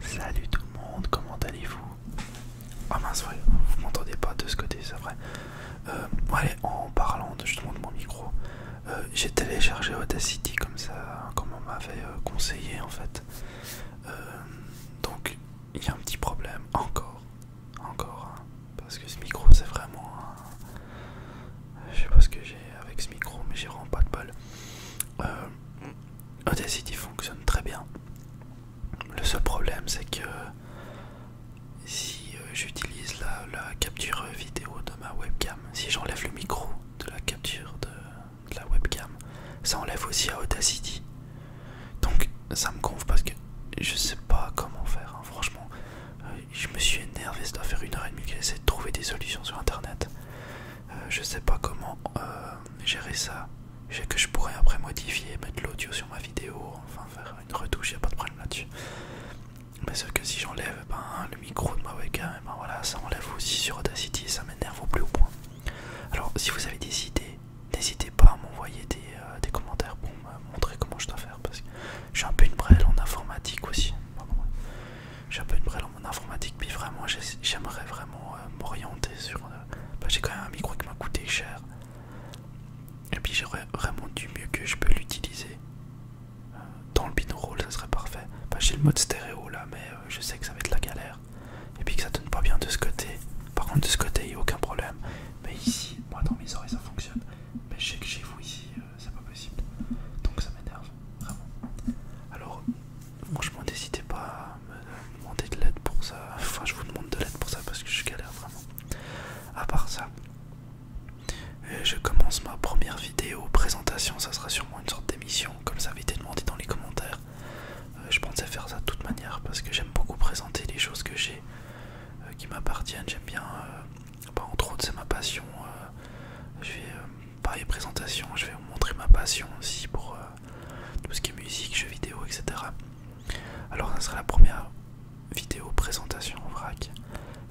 Salut tout le monde, comment allez-vous Ah mince, vous m'entendez pas de ce côté, c'est vrai. Euh, allez, en parlant de, justement de mon micro, euh, j'ai téléchargé Audacity comme ça, comme on m'avait euh, conseillé en fait. donc il y a un petit problème, encore, encore, hein, parce que ce micro c'est vraiment... je sais pas ce que j'ai avec ce micro, mais j'ai vraiment pas de balle. Audacity fonctionne très bien. Le seul problème, c'est que si euh, j'utilise la, capture vidéo de ma webcam, si j'enlève le micro de la capture de, la webcam, ça enlève aussi à Audacity. Donc ça me gonfle parce que je sais pas comment faire. Hein. Franchement, euh, je me suis énervé. Ça doit faire une heure et demie que j'essaie de trouver des solutions sur internet. Euh, je sais pas comment gérer ça. que je pourrais après modifier, mettre l'audio sur ma vidéo, enfin faire une retouche, n'y a pas de problème là-dessus. Mais sauf que si j'enlève ben, le micro de ma webcam, ben voilà, ça enlève aussi sur Audacity et ça m'énerve au plus haut point. Alors si vous avez des idées, n'hésitez pas à m'envoyer des, euh, commentaires pour me montrer comment je dois faire parce que j'ai un peu une brêle en informatique aussi. J'ai un peu une brêle en informatique, puis vraiment j'aimerais vraiment euh, m'orienter sur... Euh, bah, j'ai quand même un micro qui m'a coûté cher. Et puis j'aurais vraiment du mieux que je peux l'utiliser. Euh, dans le binaural, ça serait parfait. j'ai le mode stéréo là, mais je sais que ça va être la galère. Et puis que ça donne pas bien de ce côté. Par contre, de ce côté, il n'y a aucun problème. Mais ici, moi dans mes oreilles, ça fonctionne. Mais je sais que chez vous ici, c'est pas possible. Donc ça m'énerve, vraiment. Alors, Franchement, n'hésitez pas à me demander de l'aide pour ça. Enfin, je vous demande de l'aide pour ça parce que je galère vraiment. À part ça, je commence ma première vidéo présentation. Ça sera sûrement une sorte d'émission, comme ça avait été demandé dans les commentaires. Euh, je pensais faire ça de toute manière parce que j'aime beaucoup présenter les choses que j'ai euh, qui m'appartiennent. J'aime bien, euh, bah, entre autres, c'est ma passion. Je vais, pas les présentations, je vais vous montrer ma passion aussi pour tout ce qui est musique, jeux vidéo, etc. Alors ça sera la première vidéo présentation en vrac.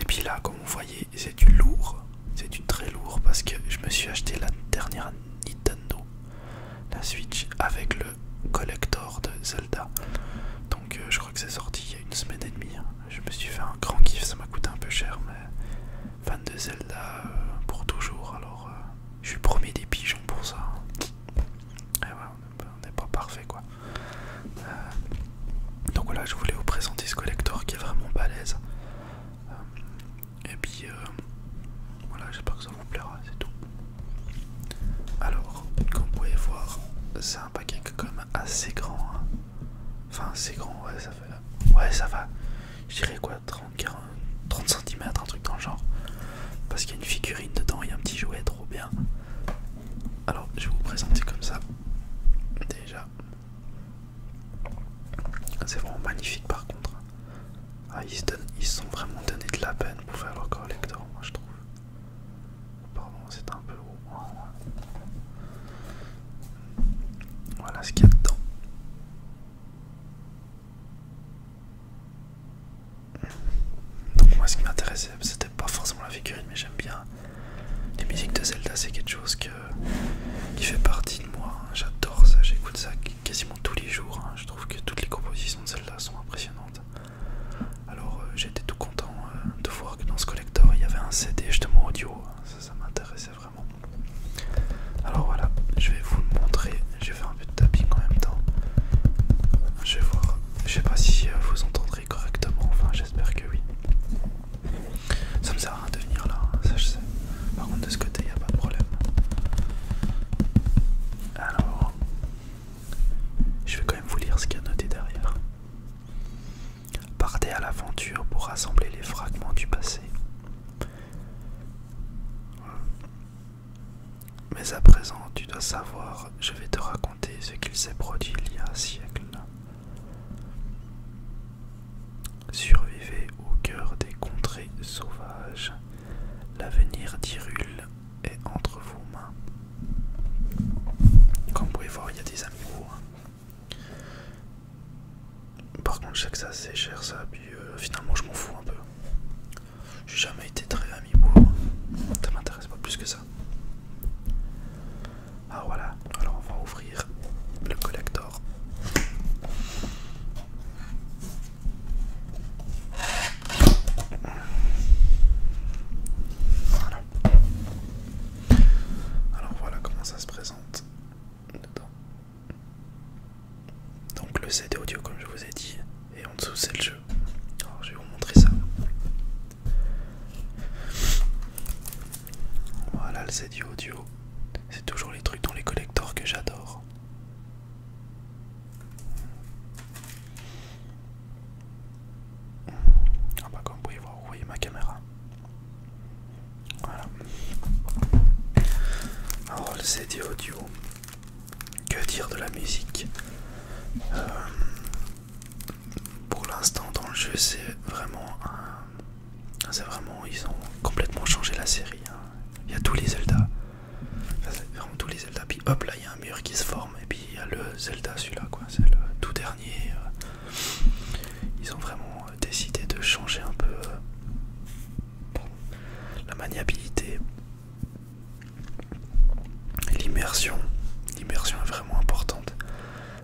Et puis là, comme vous voyez, c'est du lourd, c'est du très lourd parce que je me suis acheté la dernière Nintendo, la Switch, avec le collector de Zelda. Donc euh, je crois que c'est sorti il y a une semaine et demie. Hein. Je me suis fait un grand kiff, ça m'a coûté un peu cher, mais fan de Zelda euh, pour toujours. Alors euh, je suis premier des pigeons pour ça. Et hein. eh on n'est pas parfait quoi. Euh, donc voilà, je voulais vous présenter ce collector qui est vraiment balèze. Euh, et puis euh, voilà, j'espère que ça vous plaira, c'est tout. Alors, comme vous pouvez voir, c'est un paquet quand même assez grand. Hein. Enfin, assez grand, ouais, ça Ouais, ça va. Je dirais quoi 30, cm, un truc dans le genre. Parce qu'il y a une figurine dedans et un petit jouet trop bien. Alors je vais vous présenter comme ça. Déjà. C'est vraiment magnifique par contre. Ah, ils se ils sont vraiment donné de la peine pour faire leur collecteur, moi je trouve. Pardon, c'est un peu haut. Voilà ce qu'il y a dedans. Donc moi ce qui m'intéressait c'était pas forcément la figurine mais j'aime bien les musiques de Zelda c'est quelque chose qui fait partie de moi. Hein. J'adore ça, j'écoute ça quasiment tous les jours. Hein. Je trouve que toutes les compositions de Zelda sont impressionnantes. Alors euh, j'étais tout content euh, de voir que dans ce collector il y avait un CD justement audio. Hein. Ça, m'intéressait vraiment alors voilà, je vais vous le montrer. J'ai fait un peu de tapping en même temps. Je vais voir. Je sais pas si euh, vous entendrez correctement. Enfin, j'espère que oui. Ça me sert à rien de venir là. Hein, ça, je sais. Par contre, de ce côté, il n'y a pas de problème. Alors, je vais quand même vous lire ce qu'il y a noté derrière. Partez à l'aventure pour rassembler les fragments du passé. Mais à présent, tu dois savoir, je vais te raconter ce qu'il s'est produit il y a un siècle. Survivez au cœur des contrées sauvages. L'avenir d'Irule est entre vos mains. Comme vous pouvez voir, il y a des amours. Par contre, je sais que c'est cher ça, puis euh, finalement, je m'en fous un peu. J'ai jamais été très ami pour. Ça m'intéresse pas plus que ça. Ah voilà, alors on va ouvrir le collector. Alors voilà comment ça se présente dedans. Donc le CD audio comme je vous ai dit et en dessous c'est le jeu. Alors je vais vous montrer ça. Voilà le CD audio. C'est toujours les trucs dans les collectors que j'adore. Ah bah, comme vous pouvez voir, vous voyez ma caméra. Voilà. Alors le CD audio, que dire de la musique euh, Pour l'instant dans le jeu c'est vraiment un... Ah, c'est vraiment... Ils ont complètement changé la série. Hein. Il y a tous les Zelda. vraiment tous les Zelda. Puis hop là il y a un mur qui se forme. Et puis il y a le Zelda celui-là quoi. C'est le tout dernier. Euh. Ils ont vraiment euh, décidé de changer un peu la maniabilité, l'immersion. L'immersion est vraiment importante.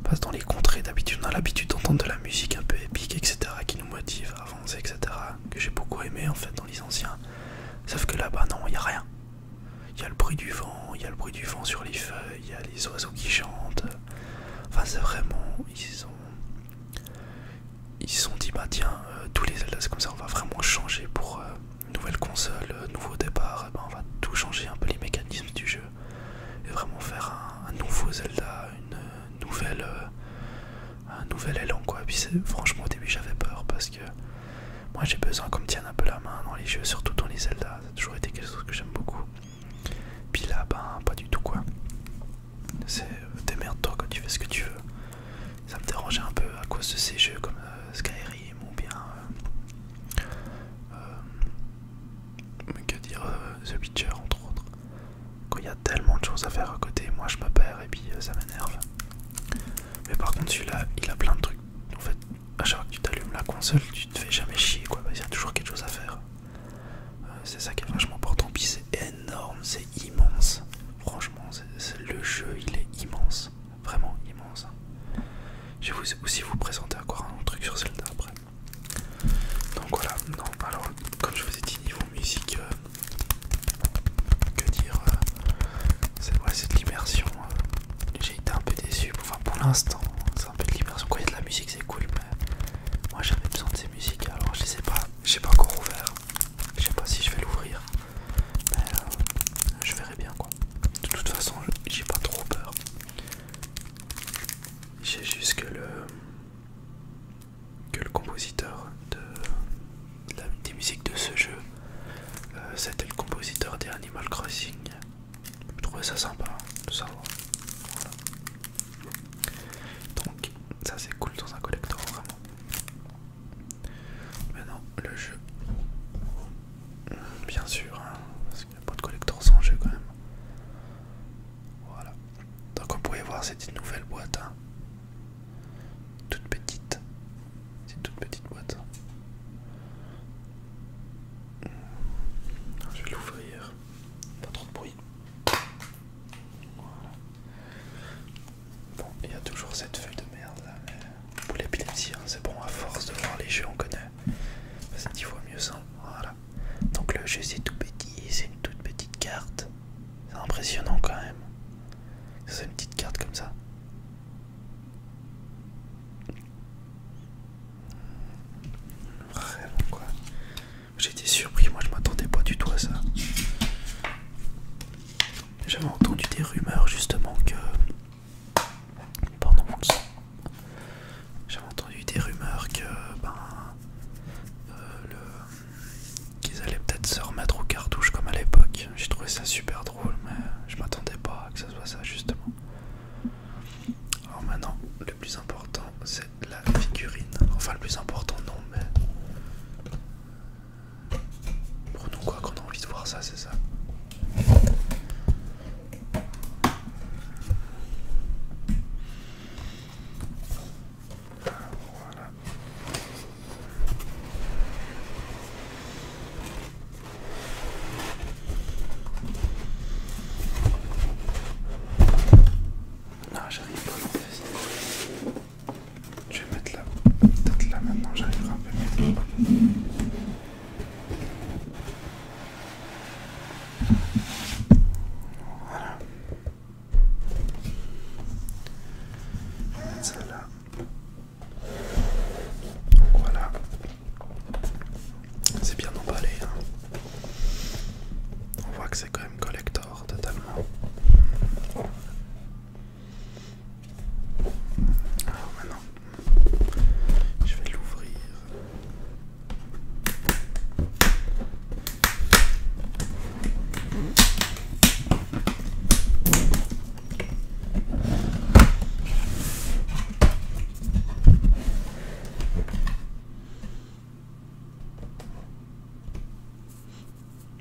Parce que dans les contrées, d'habitude, on a l'habitude d'entendre de la musique un peu épique, etc., qui nous motive à avancer, etc., que j'ai beaucoup aimé en fait dans les anciens. Sauf que là-bas, non, il n'y a rien. Il y a le bruit du vent, il y a le bruit du vent sur les feuilles, il y a les oiseaux qui chantent. Enfin, c'est vraiment. Ils ont ils se sont dit bah tiens euh, tous les Zelda c'est comme ça on va vraiment changer pour euh, une nouvelle console, euh, nouveau départ, ben, on va tout changer un peu les mécanismes du jeu et vraiment faire un, nouveau Zelda, une, nouvelle un nouvel élan quoi. puis franchement au début j'avais peur parce que moi j'ai besoin qu'on me tienne un peu la main dans les jeux, surtout dans les Zelda, ça a toujours été quelque chose que j'aime beaucoup. Puis là ben pas du tout quoi c'est démerde-toi quand tu fais ce que tu veux. Ça me dérangeait un peu à cause de ces jeux comme euh, Skyrim ou bien. Euh, euh, que dire The Witcher entre autres. Quand il y a tellement de choses à faire à côté, moi je me perds et puis ça m'énerve. Mais par contre, celui-là, il a plein de trucs. En fait, à chaque fois que tu t'allumes la console, tu te fais jamais chier quoi. Il y a toujours quelque chose à faire. c'est ça qui est vachement important. Puis c'est énorme, immense. Franchement, le jeu il est immense. Vraiment immense. Je vais vous, aussi vous présenter encore un autre truc sur Zelda après. Donc voilà, non, alors comme je vous ai dit, niveau musique, euh, que dire, euh, c'est de l'immersion. Euh. J'ai été un peu déçu, enfin pour l'instant, c'est un peu de l'immersion. Quoi il y a de la musique, c'est cool, mais moi j'avais besoin de ces musiques, alors je sais pas, j'ai pas encore ouvert. Je sais pas si je vais l'ouvrir, mais euh, je verrai bien quoi. De toute façon, j'ai pas trop peur. J'ai juste que le que le compositeur de, des musiques de ce jeu, euh, c'était le compositeur des Animal Crossing. Je trouvais ça sympa hein, de Donc ça c'est cool dans un collector vraiment. Maintenant, le jeu. Bien sûr, hein, parce qu'il n'y a pas de collector sans jeu quand même. Voilà. Donc, vous pouvez voir, c'est une nouvelle boîte. Hein. Toute petite. C'est une toute petite boîte. Je vais l'ouvrir. Pas trop de bruit. Bon, il y a toujours cette feuille de merde là, mais pour l'épilepsie, hein, c'est bon, à force de voir les jeux, on connaît. C'est 10 fois mieux ça, voilà. Donc le jeu c'est tout petit, c'est une toute petite carte. C'est impressionnant quand même. C'est une petite carte comme ça. Vraiment quoi. J'étais surpris, moi je m'attendais pas du tout à ça. J'avais entendu des rumeurs justement que... pendant mon J'avais entendu des rumeurs que... Ben, euh, le... Qu'ils allaient peut-être se remettre aux cartouches comme à l'époque. J'ai trouvé ça super drôle mais je m'attendais pas à que ce soit ça justement. Alors maintenant, le plus important c'est la figurine. Enfin le plus important non mais... Prenons quoi, qu'on a envie de voir ça, c'est ça. Voilà. Ah, j'arrive pas à je vais mettre là. peut là maintenant j'arriverai un peu mieux. Voilà. Je ça là. voilà. C'est bien emballé. Hein. On voit que c'est quand même collector totalement. Alors maintenant, je vais l'ouvrir.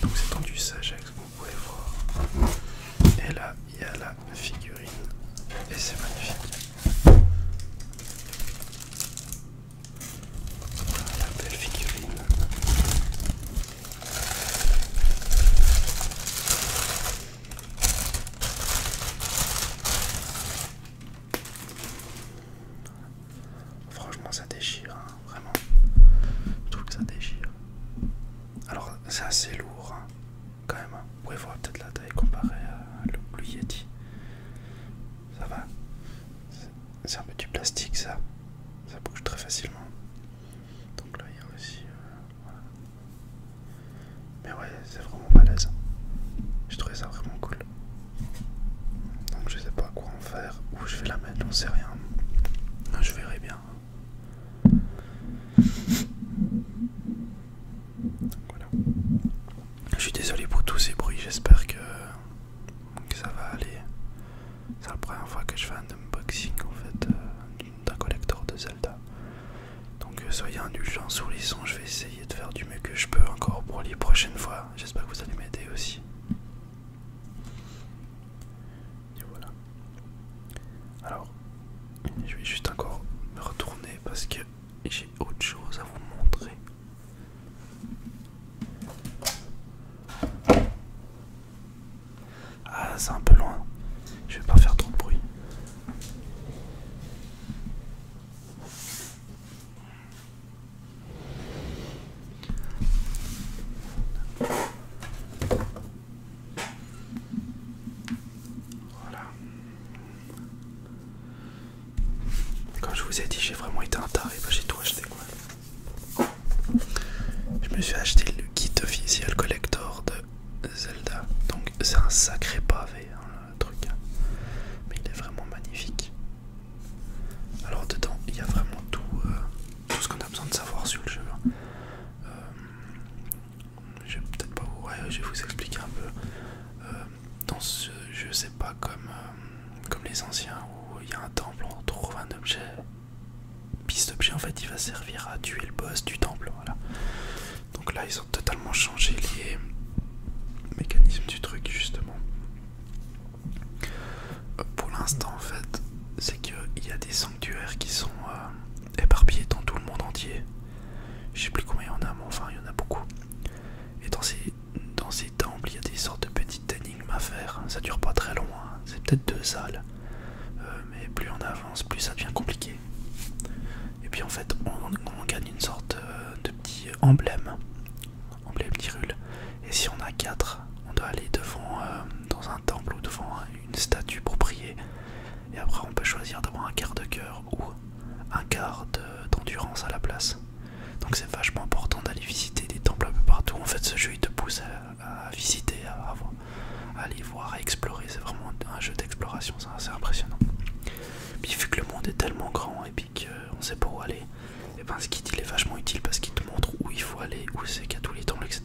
Donc c'est tendu du que vous pouvez voir. Et là, il y a la figurine. Et c'est magnifique. la belle figurine. Franchement, ça déchire, hein, vraiment. Je trouve que ça déchire. Alors, c'est assez lourd, hein, quand même. Vous pouvez voir peut-être la taille comparée à le Ça va. C'est un peu du plastique, ça. Ça bouge très facilement. Donc là, il y a aussi. Euh, mais ouais, c'est vraiment balèze. J'ai trouvé ça vraiment cool. Donc je sais pas quoi en faire, où je vais la mettre, on sait rien. Ah, je verrai bien. Je suis désolé pour tous ces bruits, j'espère que, ça va aller. C'est la première fois que je fais un unboxing en fait euh, d'un collector de Zelda. Donc euh, soyez indulgents sur je vais essayer de faire du mieux que je peux encore pour les prochaines fois. J'espère que vous allez m'aider aussi. Et voilà. Alors, je vais juste encore me retourner parce que j'ai autre chose à vous montrer. Ah, c'est un peu loin. Je vais pas faire trop de bruit. Voilà. Quand je vous ai dit, j'ai vraiment été un taré, bah, j'ai tout acheté quoi. Je me suis acheté le kit officiel collector de Zelda. Donc c'est un sacré pavé. Hein truc. Hein. Mais il est vraiment magnifique. Alors dedans, il y a vraiment tout, euh, tout ce qu'on a besoin de savoir sur le jeu. Hein. Euh, je vais peut-être pas vous, je vais vous expliquer un peu. Euh, dans ce jeu, c'est pas comme, comme les anciens où il y a un temple, on trouve un objet. Puis cet objet, en fait, il va servir à tuer le boss du temple. Voilà. Donc là, ils totalement changé les mécanismes du truc justement. Euh, pour l'instant en fait, c'est qu'il y a des sanctuaires qui sont euh, éparpillés dans tout le monde entier. Je sais plus combien il y en a, mais enfin il y en a beaucoup. Et dans ces, dans ces temples, il y a des sortes de petites énigmes à faire. Ça dure pas très loin, hein. c'est peut-être deux salles. Euh, mais plus on avance, plus ça devient compliqué. Et puis en fait, on, gagne une sorte euh, de petit emblème, emblème d'Irule. Et si on a 4, on doit aller devant euh, dans un temple ou devant une statue pour prier. Et après, on peut choisir d'avoir un quart de cœur ou un quart d'endurance à la place. Donc c'est vachement important d'aller visiter des temples un peu partout. En fait, ce jeu il te pousse à, visiter, à aller voir, à explorer. C'est vraiment un jeu d'exploration, c'est assez impressionnant. Puis vu que le monde est tellement grand et puis qu'on euh, sait pas où aller, et eh ben ce kit il est vachement utile parce qu'il te montre où il faut aller, où c'est qu'à tous les temps, etc.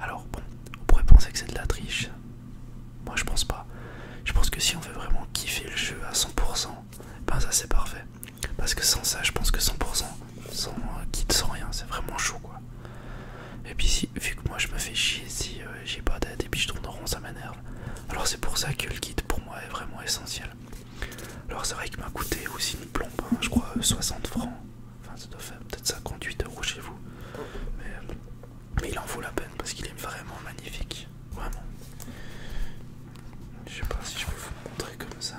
Alors bon, on pourrait penser que c'est de la triche. Moi je pense pas. Je pense que si on veut vraiment kiffer le jeu à 100%, eh ben ça c'est parfait. Parce que sans ça, je pense que 100%, sans euh, te sans rien, c'est vraiment chaud quoi. Et puis vu que moi je me fais chier si euh, j'ai pas d'aide et puis je tourne rond, ça m'énerve. Alors c'est pour ça que le guide pour moi est vraiment essentiel. Alors c'est vrai qu'il m'a coûté aussi une plombe, hein, je crois 60 euh, francs. Enfin ça doit faire peut-être 58 euros chez vous. Euh, mais, il en vaut la peine parce qu'il est vraiment magnifique. Vraiment. Je sais pas si je peux vous montrer comme ça.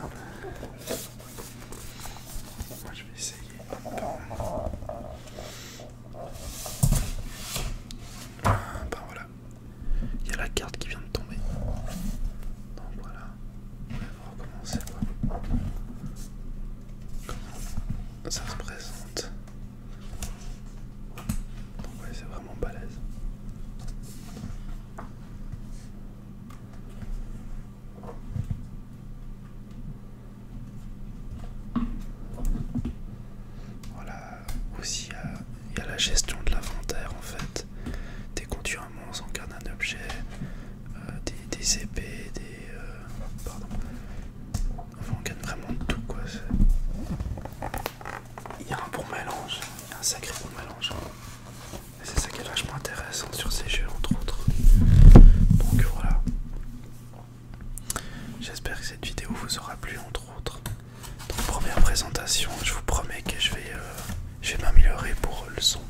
Moi je vais essayer. Ben voilà, il y a la carte qui vient de tomber. Donc voilà, on va recommencer Comment ça se présente Donc ouais, c'est vraiment balèze. Voilà, euh, aussi euh, il y a la gestion de l'inventaire en fait. des qu'on à un on garde un objet, euh, des, épées, des... pardon. on gagne vraiment tout quoi. Il y a un bon mélange, un sacré bon mélange. Et c'est ça qui est vachement intéressant sur ces jeux entre autres. Donc voilà. J'espère que cette vidéo vous aura plu entre autres. Donc première présentation, je vous promets que je vais, euh, je vais m'améliorer pour le son.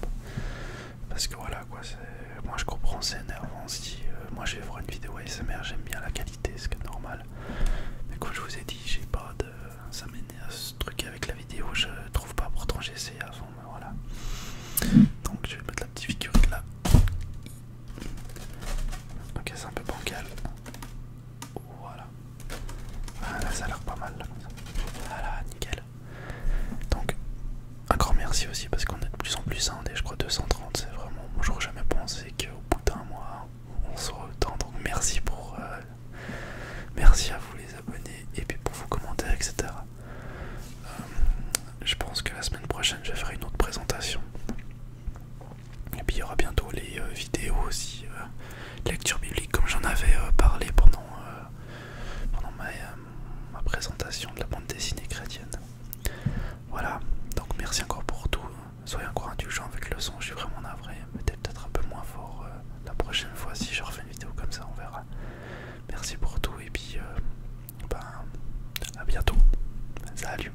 Parce que voilà quoi, moi je comprends, c'est énervant. Si euh, moi je vais voir une vidéo ASMR, j'aime bien la qualité, c'est normal. Mais comme je vous ai dit, j'ai pas de. Ça à ce truc avec la vidéo, je trouve pas, pourtant j'ai essayé avant, mais voilà. Donc je vais mettre la petite figurine là. Ok, c'est un peu bancal. Voilà. Ah, ça a l'air pas mal là Voilà, ah, nickel. Donc, un grand merci aussi parce qu'on est de plus en plus indé, je crois 230, c'est vraiment. Moi j'aurais jamais pensé qu'au bout d'un mois on soit autant. Donc merci pour. Euh, merci à vous les abonnés et puis pour vos commentaires, etc. Euh, je pense que la semaine prochaine je vais faire une autre présentation. Et puis il y aura bientôt les euh, vidéos aussi, euh, lecture biblique comme j'en avais euh, parlé pendant, ma, présentation de la bande dessinée chrétienne. Voilà, donc merci encore pour tout. Soyez encore indulgents avec le son, je suis vraiment navré. peut-être peut-être un peu moins fort la prochaine fois si je refais une vidéo comme ça, on verra. Merci pour tout et puis ben, à bientôt. Salut